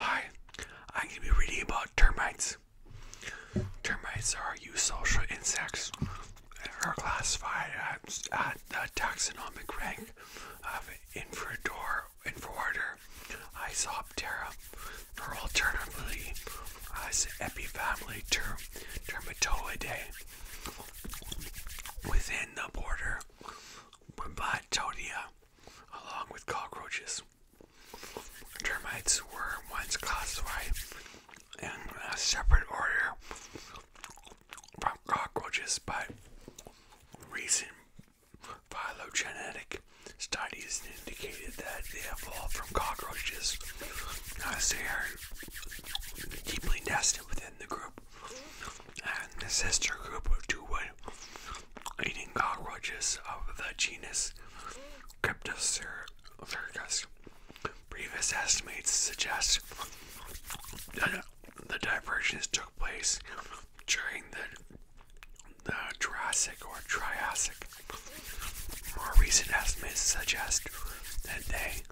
Hi, I'm going to be reading about termites. Termites are eusocial insects and are classified at, the taxonomic rank of Infrador, Infraorder Isoptera, or alternatively as epifamily term, Termitoidae, within the border Blattonia, along with cockroaches. Termites were once classified in a separate order from cockroaches by recent phylogenetic studies indicated that they evolved from cockroaches as they are deeply nested within the group and the sister group of two eating cockroaches of the genus Cryptocercus. Previous estimates suggest that the divergence took place during the, Jurassic or Triassic. More recent estimates suggest that they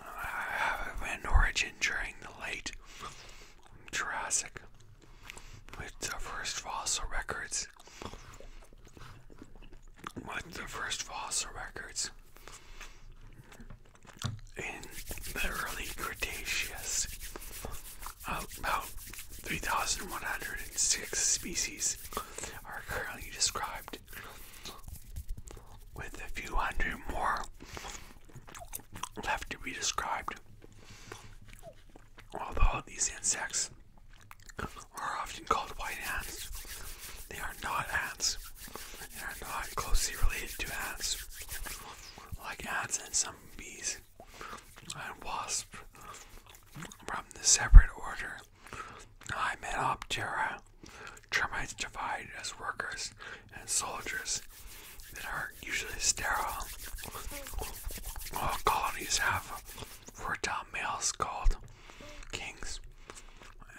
uh, have an origin during the late Jurassic with the first fossil records. With the first fossil records in the early Cretaceous, about 3,106 species are currently described, with a few hundred more left to be described. Although these insects are often called white ants, they are not ants. They are not closely related to ants. Like ants and some bees and wasps from the separate order Hymenoptera, termites divide as workers and soldiers that are usually sterile. All uh, uh, colonies have fertile males called kings,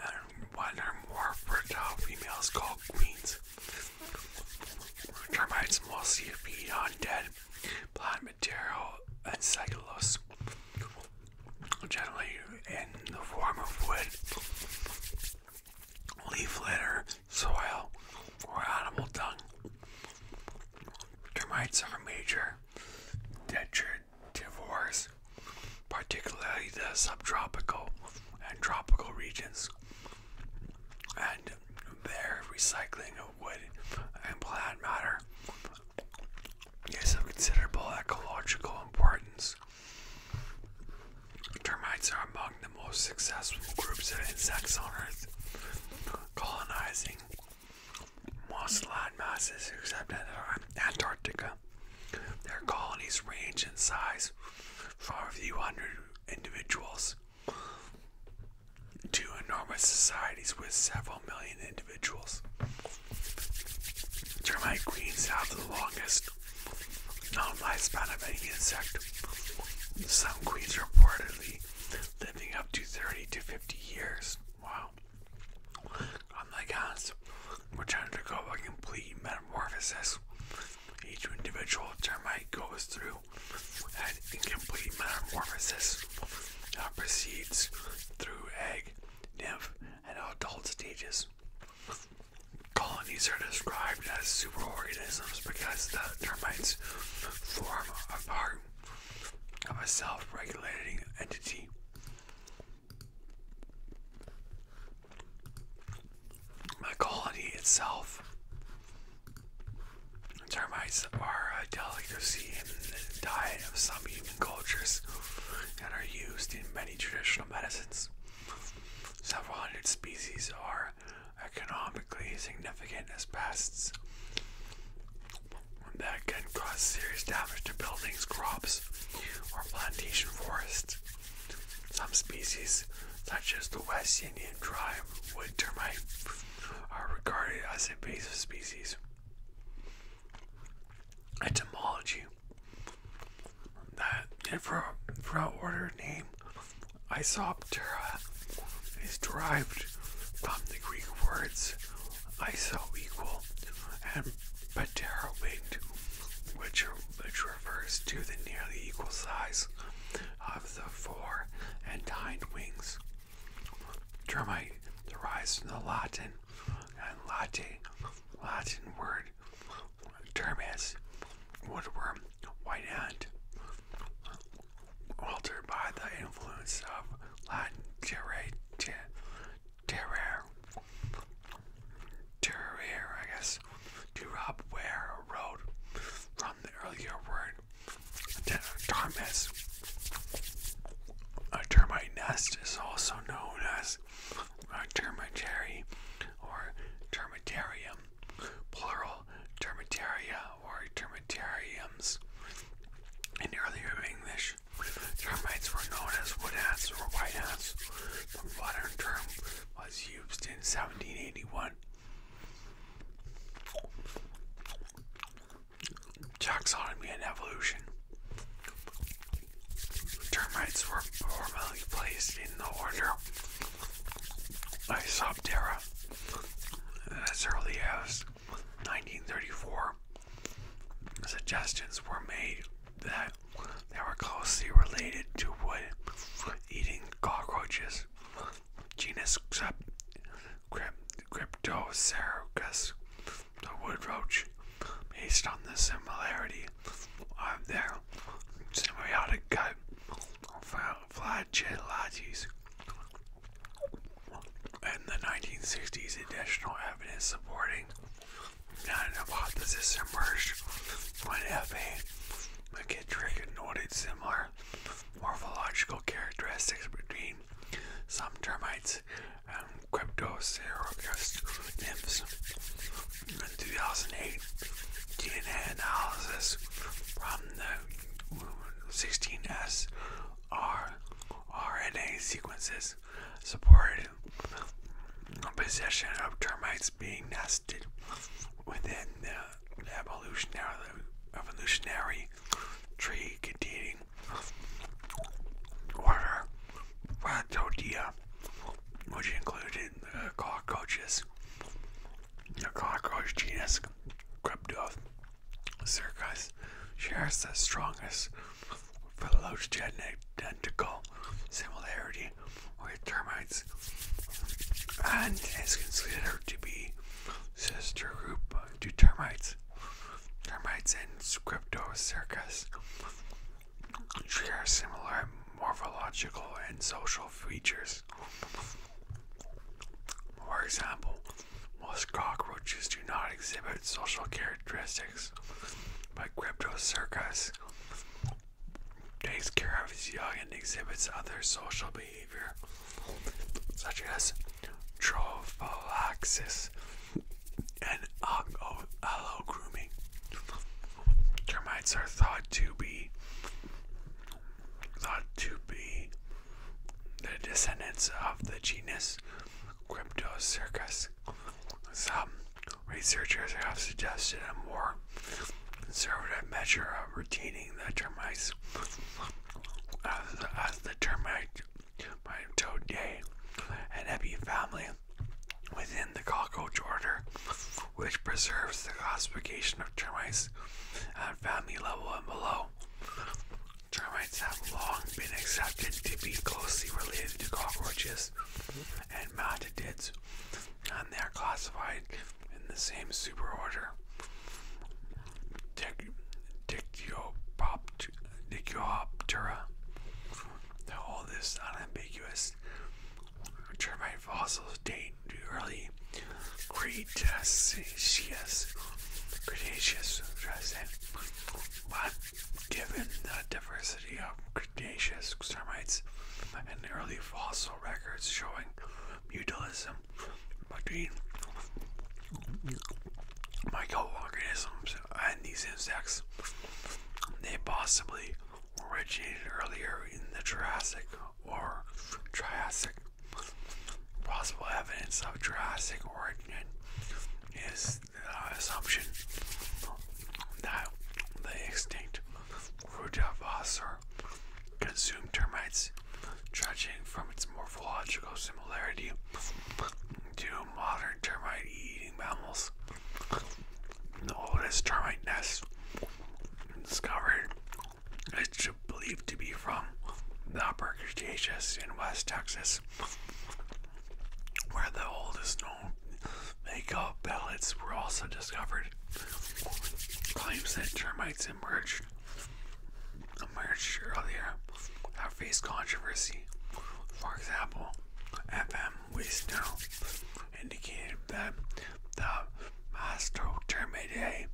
and one or more fertile females called queens. Termites mostly feed on dead plant material and cellulose, generally in the form of wood, leaf litter, soil, or animal dung. Termites are major detritivores, particularly the subtropical and tropical regions, and their recycling of wood and plant matter is of considerable ecological importance. Termites are among the most successful groups of insects on Earth, colonizing most land masses except uh, Antarctica. Their colonies range in size from a few hundred individuals to enormous societies with several million individuals. Termite queens have the longest known lifespan of any insect. Some queens reportedly living up to 30 to 50 years. Wow. Unlike oh us, we're trying to go a complete metamorphosis. Each individual termite goes through an incomplete metamorphosis that proceeds through egg, nymph, and adult stages. Colonies are described as superorganisms because the termites form a part of a self-regulating entity. My colony itself. Termites are a uh, delicacy in the diet of some human cultures and are used in many traditional medicines. Several hundred species are economically significant as pests that can cause serious damage to buildings, crops, or plantation forests. Some species, such as the West Indian tribe wood termite, are regarded as invasive species. Etymology That for infra order name I saw Optera uh, is derived from the Greek words iso equal and patera which, which refers to the nearly equal size of the fore and hind wings. Termite derives from the Latin and latte, Latin word termis, woodworm, white ant altered by the influence of Latin terror, terror, I guess, to rob where a road from the earlier word termis. A termite nest is also known as a termitary or termitarium, plural termitaria in earlier English, termites were known as wood ants or white ants. The modern term was used in 1781. Taxonomy and evolution. Termites were formally placed in the order Isoptera as early as 1934, suggestions were made that they were closely related to wood-eating cockroaches, genus Cryptocercus, the wood roach, based on the similarity of their symbiotic gut fried gelatis. In the 1960s, additional evidence supporting an hypothesis emerged when F.A. McKittrick noted similar morphological characteristics between some termites and cryptocerocus nymphs. In 2008, DNA analysis from the 16S are RNA sequences supported possession of termites being nested within the evolutionary, evolutionary tree containing order Ratodea, which included cockroaches, the cockroach genus Cryptoth, Circus shares the strongest phylogenetic identical similarity with termites and is considered to be sister group to termites. Termites and Scriptocercus share similar morphological and social features. For example, most cockroaches do not exhibit social characteristics, but Cryptocercus takes care of his young and exhibits other social behavior, such as trophallaxis and aloe grooming. Termites are thought to be thought to be the descendants of the genus Cryptocercus. Some researchers have suggested a more conservative measure of retaining the termites as the, termite mitodae, an epifamily within the cockroach order, which preserves the classification of termites at family level and below. Termites have long been accepted to be closely related to cockroaches and mantids, and they are classified in the same superorder. Dictyoptera. The oldest unambiguous termite fossils date to early Cretaceous gracious, Cretaceous resin. But given the diversity of Cretaceous termites and early fossil records showing mutualism between microorganisms and these insects, they possibly originated earlier in the Jurassic or Triassic Possible evidence of Jurassic origin is the assumption that the extinct Rudavasser consumed termites, judging from its morphological similarity to modern termite eating mammals. The oldest termite nest discovered believed to be from the upper Cretaceous in West Texas, where the oldest known makeup pellets were also discovered. Claims that termites emerged, emerged earlier have faced controversy. For example, FM Waste Now indicated that the Mastotermidae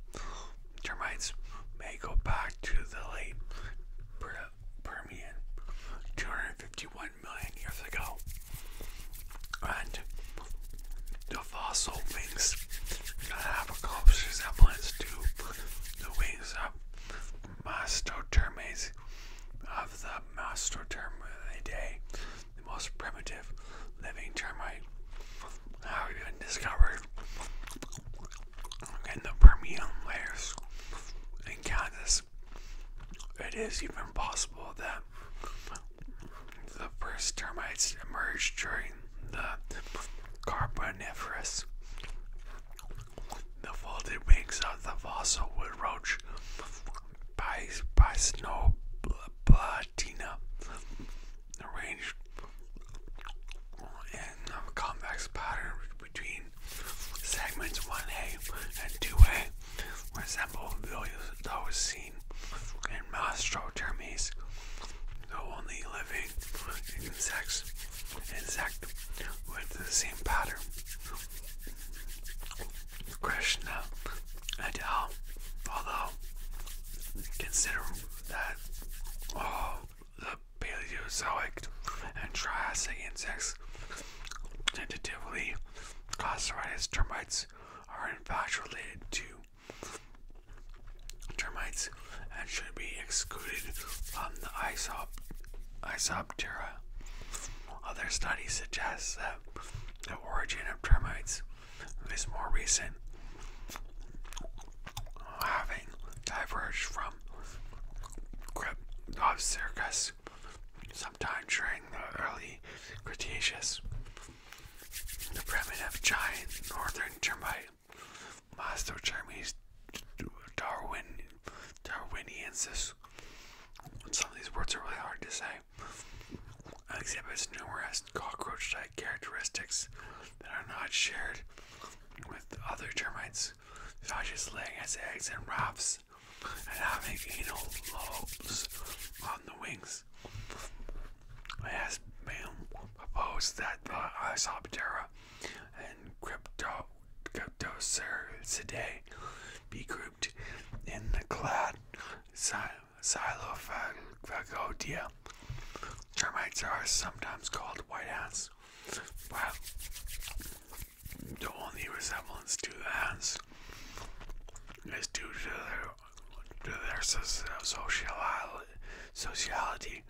termites may go back to the late Permian 251 million years ago. And the fossil wings have a close resemblance to the wings of mastotermes of the mastotermidae, the most primitive living termite, have been discovered and the Permian layers in Kansas, it is even possible that the first termites emerged during the Carboniferous. The folded wings of the fossil wood roach by, by snow platina arranged in a convex pattern between segments 1A and 2A resemble those seen in Mastrotermes, though only living insects insect with the same pattern. Krishna et al. Although consider that all Paleozoic and Triassic insects, tentatively classified as termites, are in fact related to termites and should be excluded from the Isoptera. Other studies suggest that the origin of termites is more recent, having diverged from from of Circus, sometime during the early Cretaceous. The primitive giant northern termite, Mastochermes Darwin, Darwiniensis, some of these words are really hard to say, exhibits numerous cockroach-like characteristics that are not shared with other termites eggs. Josh laying his eggs and wraps and having anal lobes on the wings. It has been proposed that the uh, Isoptera and Crypto Cryptocercidae be grouped in the clade Xylophagodia. Termites are sometimes called white ants but the only resemblance to that is due to their, to their sociali sociality,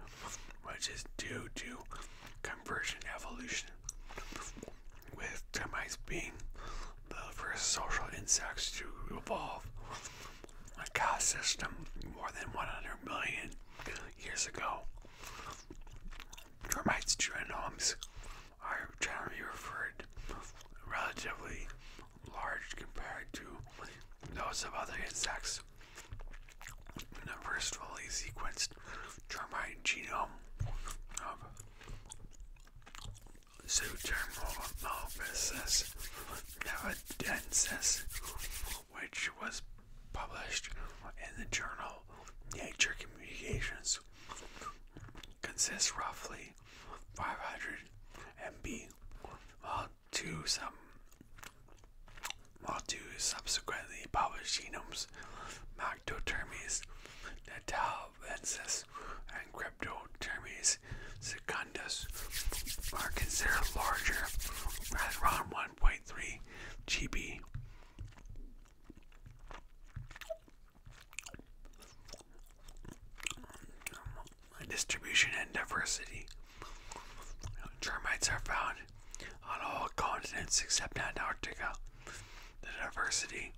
which is due to conversion evolution, with termites being the first social insects to evolve. A caste system more than 100 million years ago. Termites my are generally referred relatively large compared to those of other insects. the first fully sequenced termite genome of Zootermolophysis nevadensis which was published in the journal Nature Communications, consists roughly 500 MB, while two, some, while two subsequently published genomes, Mactotermes natalensis and Cryptotermes secundus, are considered larger, as one. 1.3 GB. Distribution and diversity. Termites are found on all continents except Antarctica. The diversity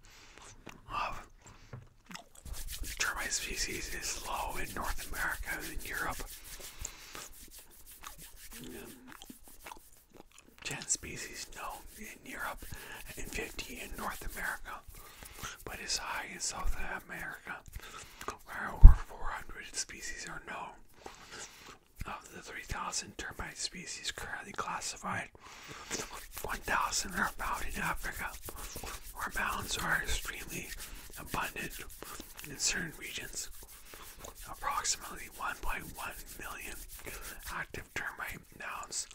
of termite species is low in North America and Europe. 10 species known in Europe and 50 in North America, but is high in South America, where over 400 species are known. Of the 3,000 termite species currently classified, 1,000 are found in Africa, where mounds are extremely abundant in certain regions. Approximately 1.1 million active termite mounds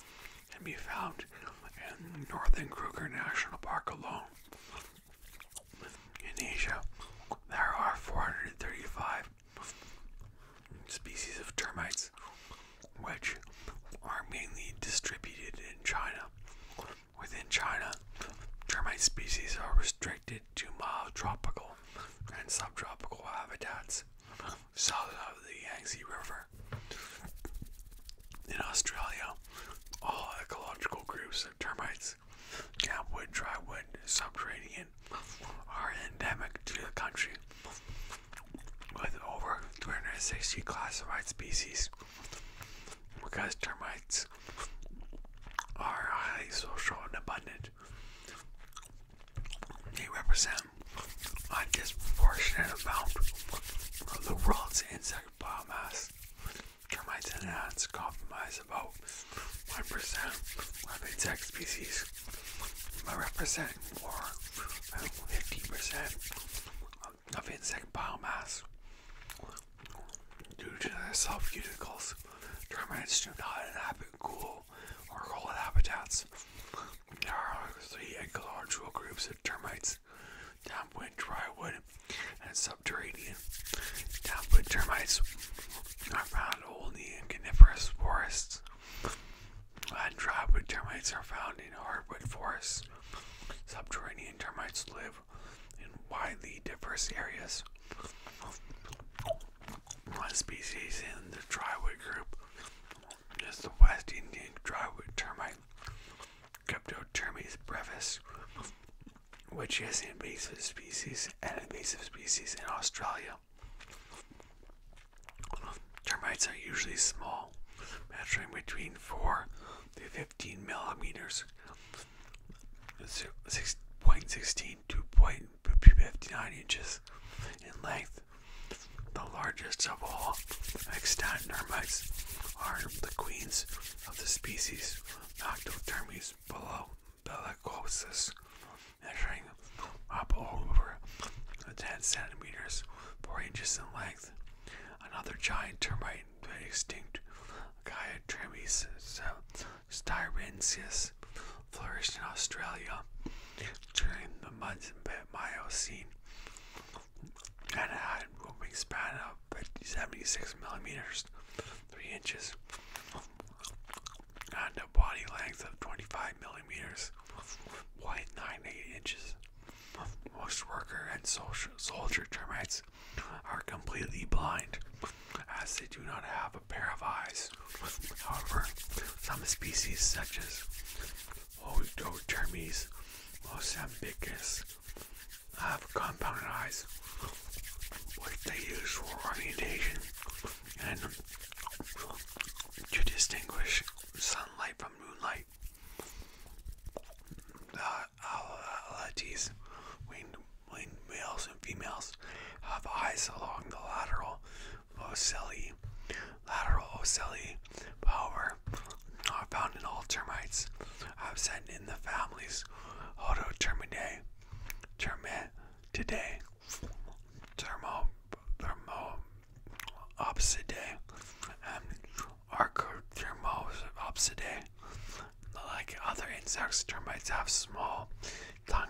can be found in northern Kruger National Park alone. In Asia, there are 435 species of termites, which are mainly distributed in China. Within China, termite species are restricted to mild tropical and subtropical habitats south of the Yangtze River. In Australia, all ecological groups of termites, campwood, drywood, subterranean, are endemic to the country, with over 360 classified species. Because termites are highly social and abundant, they represent a disproportionate amount of the world's insect biomass. Termites and ants comprise about 1% of insect species, but represent more than 50% of insect biomass. Due to their soft cuticles, termites do not inhabit cool all There are three ecological groups of termites dampwood, drywood and subterranean. Dampwood termites are found only in coniferous forests, and drywood termites are found in hardwood forests. Subterranean termites live in widely diverse areas. One species in the drywood group is the West Indian drywood termite, Cryptotermes brevis, which is an invasive species and invasive species in Australia. Termites are usually small, measuring between 4 to 15 millimeters, 6.16 to 59 inches in length. The largest of all extant termites are the queens of the species Noctothermes below bellicosus, measuring up over 10 centimeters, 4 inches in length. Another giant termite went extinct, Gaia trimis, Styrensis flourished in Australia during the Miocene and had a wingspan of 76 millimeters, 3 inches, and a body length of 25 millimeters, 0.98 inches. Most worker and soldier termites are completely blind as they do not have a pair of eyes. However, some species such as Odotermes mozambicus have compound eyes, which they use for orientation and to distinguish sunlight from moonlight. The winged males and females, have eyes along the lateral ocelli, lateral ocelli, power, are found in all termites, absent in the families termite, today, Thermo, thermo, Thermopsidae, and Archothermopsidae. Like other insects, termites have small tongue